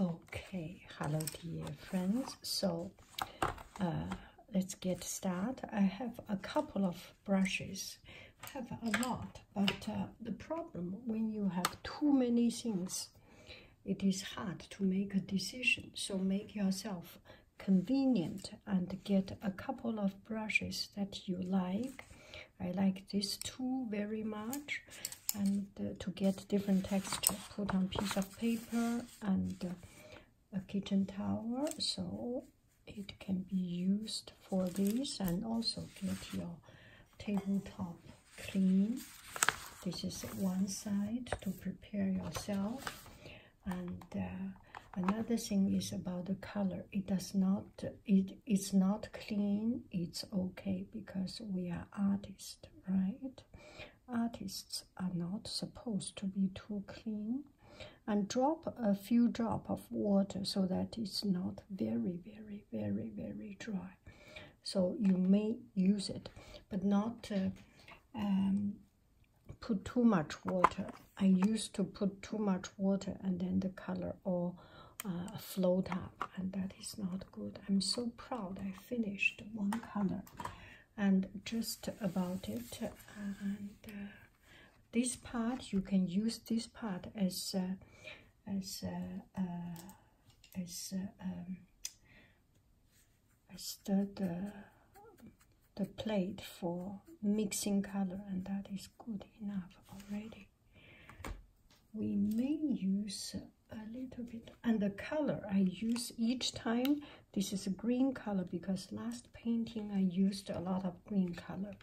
Okay, hello dear friends. So uh, let's get started. I have a couple of brushes. have a lot, but uh, the problem when you have too many things, it is hard to make a decision. So make yourself convenient and get a couple of brushes that you like. I like these two very much and uh, to get different texture put on piece of paper and uh, a kitchen towel so it can be used for this and also get your tabletop clean this is one side to prepare yourself and uh, another thing is about the color it does not it's not clean it's okay because we are an artist, right? Artists are not supposed to be too clean. And drop a few drop of water so that it's not very, very, very, very dry. So you may use it, but not uh, um, put too much water. I used to put too much water and then the color all uh, float up, and that is not good. I'm so proud I finished one color and just about it. and uh, this part you can use this part as uh, as uh, as uh, um, as the the plate for mixing color, and that is good enough already we may use a little bit and the color I use each time this is a green color because last painting I used a lot of green color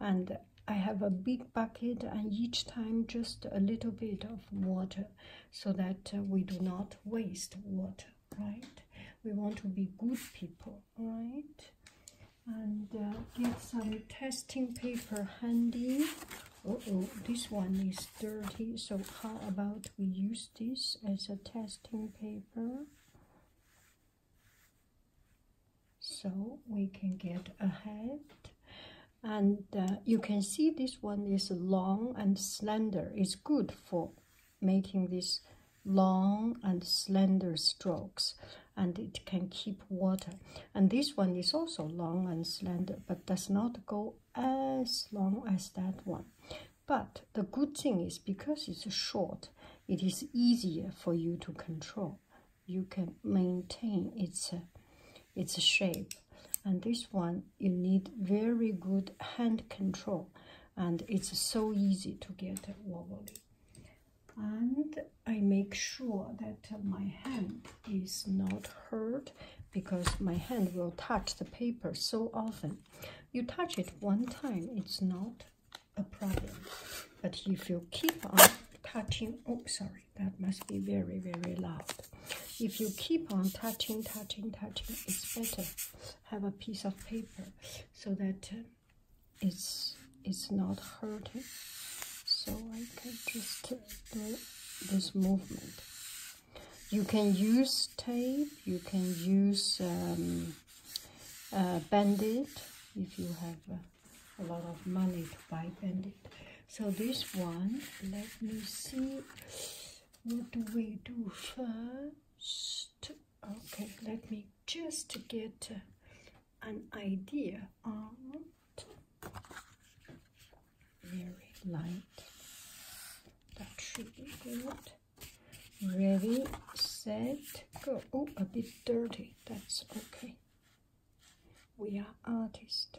and I have a big bucket and each time just a little bit of water so that uh, we do not waste water right we want to be good people right and uh, get some testing paper handy. Uh oh, this one is dirty, so how about we use this as a testing paper? So we can get ahead. And uh, you can see this one is long and slender. It's good for making these long and slender strokes and it can keep water. And this one is also long and slender, but does not go as long as that one. But the good thing is because it's short, it is easier for you to control. You can maintain its, its shape. And this one, you need very good hand control. And it's so easy to get wobbly and I make sure that my hand is not hurt because my hand will touch the paper so often. You touch it one time, it's not a problem. But if you keep on touching, oh, sorry, that must be very, very loud. If you keep on touching, touching, touching, it's better have a piece of paper so that uh, it's it's not hurting so I can just do this movement you can use tape you can use um, uh, if you have a lot of money to buy bandit so this one let me see what do we do first okay let me just get uh, an idea out very light that should be good ready set go oh a bit dirty that's okay we are artists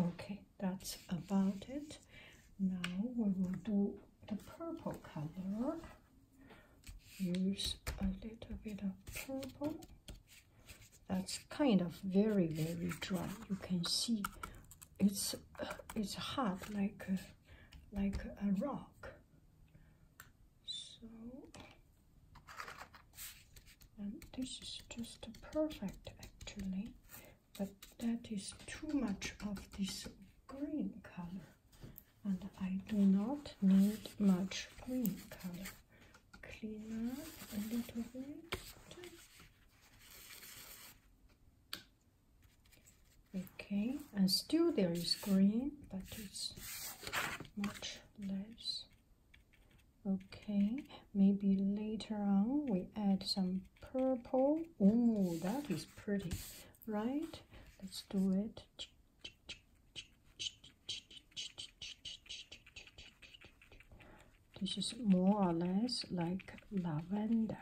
Okay, that's about it. Now we will do the purple color. Use a little bit of purple. That's kind of very, very dry. You can see it's uh, it's hard like like a rock. So um, this is just perfect actually, but that is too much of this green color and I do not need much green color. Clean up a little bit. Okay, and still there is green, but it's much less okay maybe later on we add some purple oh that is pretty right let's do it this is more or less like lavender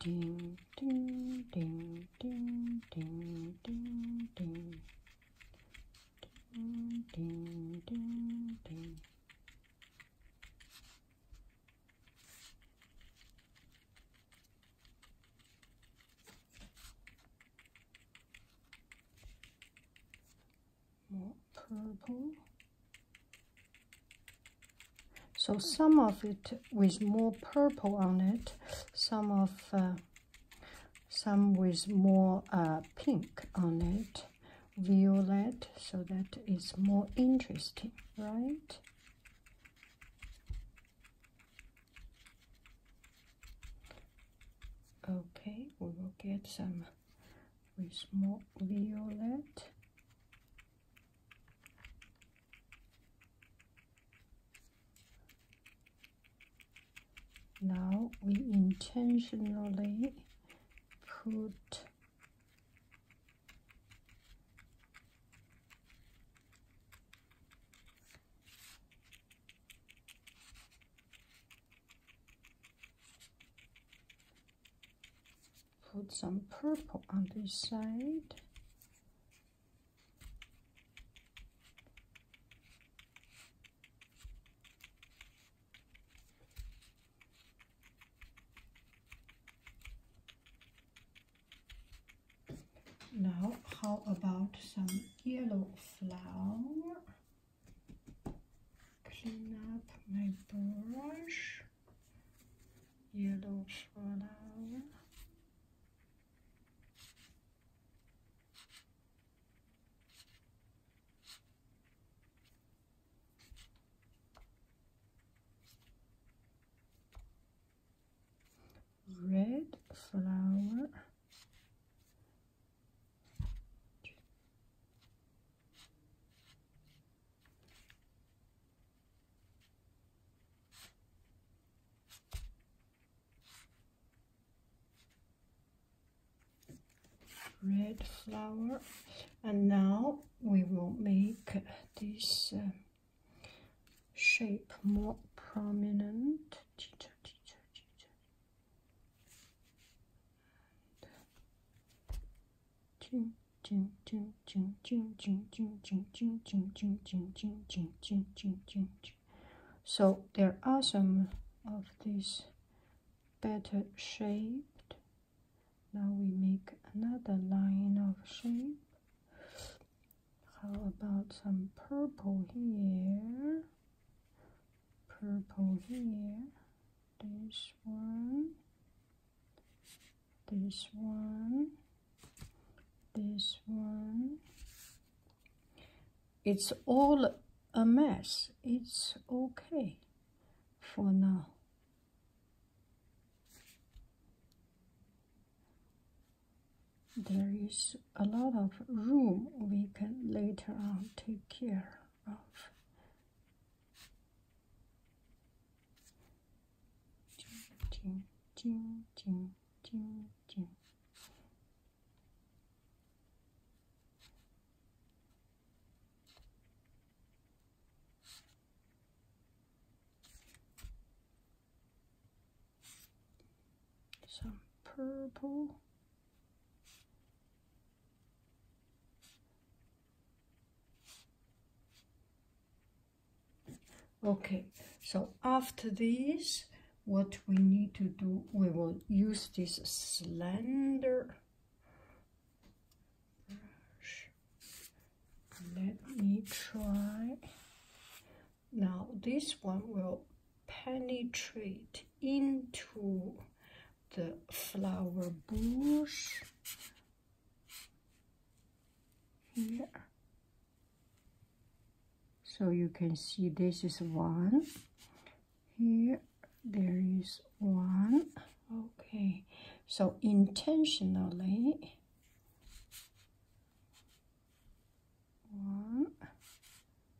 Ding, ding, ding, ding, ding, ding, ding. Ding, ding, ding, ding more purple. So some of it with more purple on it, some of uh, some with more uh, pink on it, violet, so that is more interesting, right? Okay, we will get some with more violet now we intentionally put Put some purple on this side. Now, how about some yellow flower? clean up my brush, yellow flower. red flower red flower and now we will make this um, shape more prominent so there are some of these better shaped. Now we make another line of shape. How about some purple here? Purple here this one, this one, this one. It's all a mess. It's okay for now. There is a lot of room we can later on take care of ching, ching, ching, ching, ching. Some purple okay so after this what we need to do we will use this slender brush let me try now this one will penetrate into the flower bush here so you can see this is one here there is one okay so intentionally one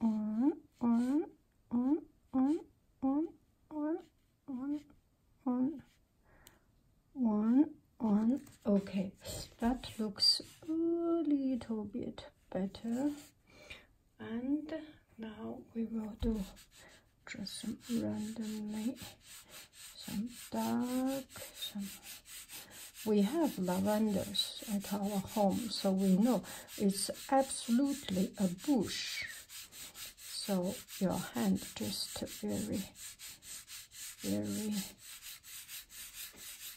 on, on, on, on, on, on, on, on, one, on. Okay, that looks a little bit better. And now we will do just some randomly, some dark, some. We have lavenders at our home, so we know it's absolutely a bush. So your hand just very, very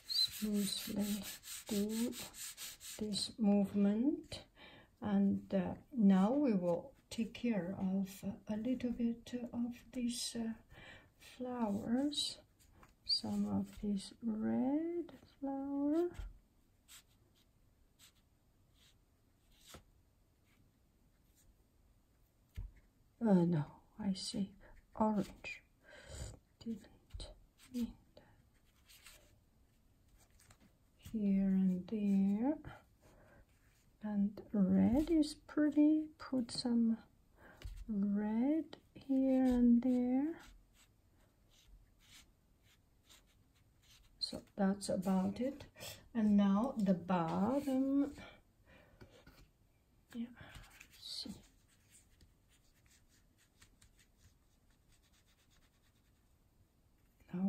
smoothly do this movement. And uh, now we will take care of a little bit of these uh, flowers some of this red flower. Uh, no, I say orange. Didn't mean that. Here and there. And red is pretty. Put some red here and there so that's about it and now the bottom now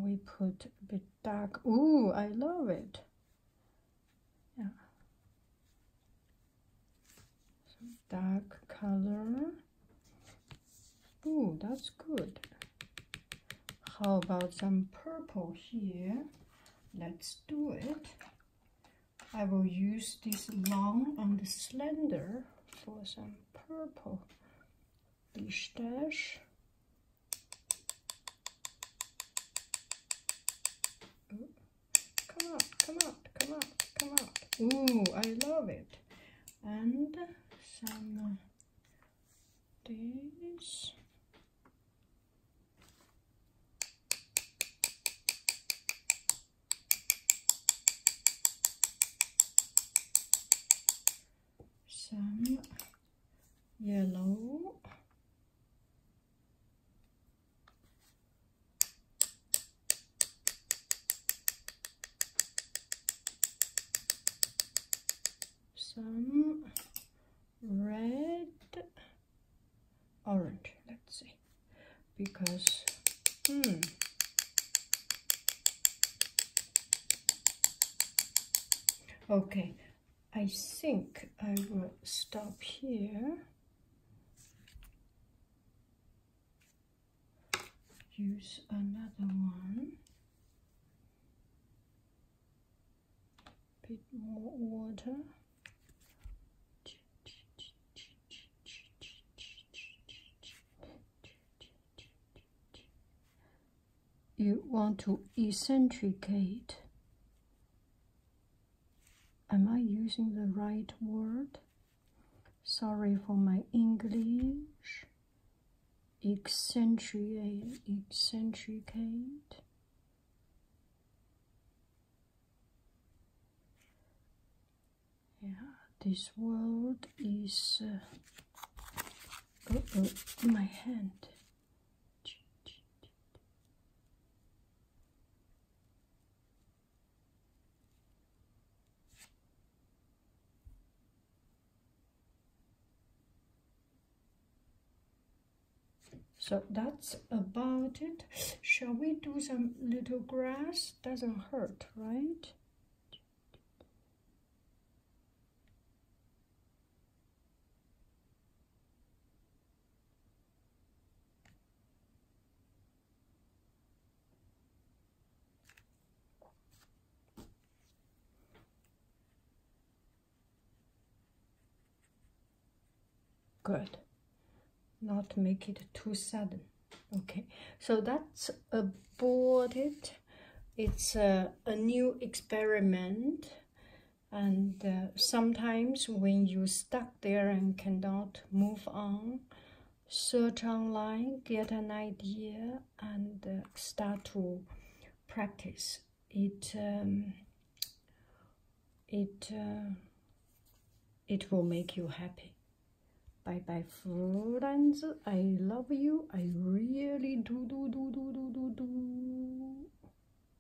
we put a bit dark Ooh, I love it yeah dark color. Oh, that's good. How about some purple here? Let's do it. I will use this long and slender for some purple pistache. Come out, come out, come out, come out. Ooh, I love it. And some these. Some yellow some red orange let's see because hmm okay I think I will stop here use another one Put more water you want to eccentricate Am I using the right word? Sorry for my English. Accentuate, accentuate. Yeah, this word is. Uh, uh oh, oh my hand. So that's about it. Shall we do some little grass? Doesn't hurt, right? Good. Not make it too sudden. Okay, so that's aborted. It's a, a new experiment and uh, sometimes when you stuck there and cannot move on search online get an idea and uh, start to practice it um, it uh, it will make you happy bye bye friends i love you i really do do do do do do do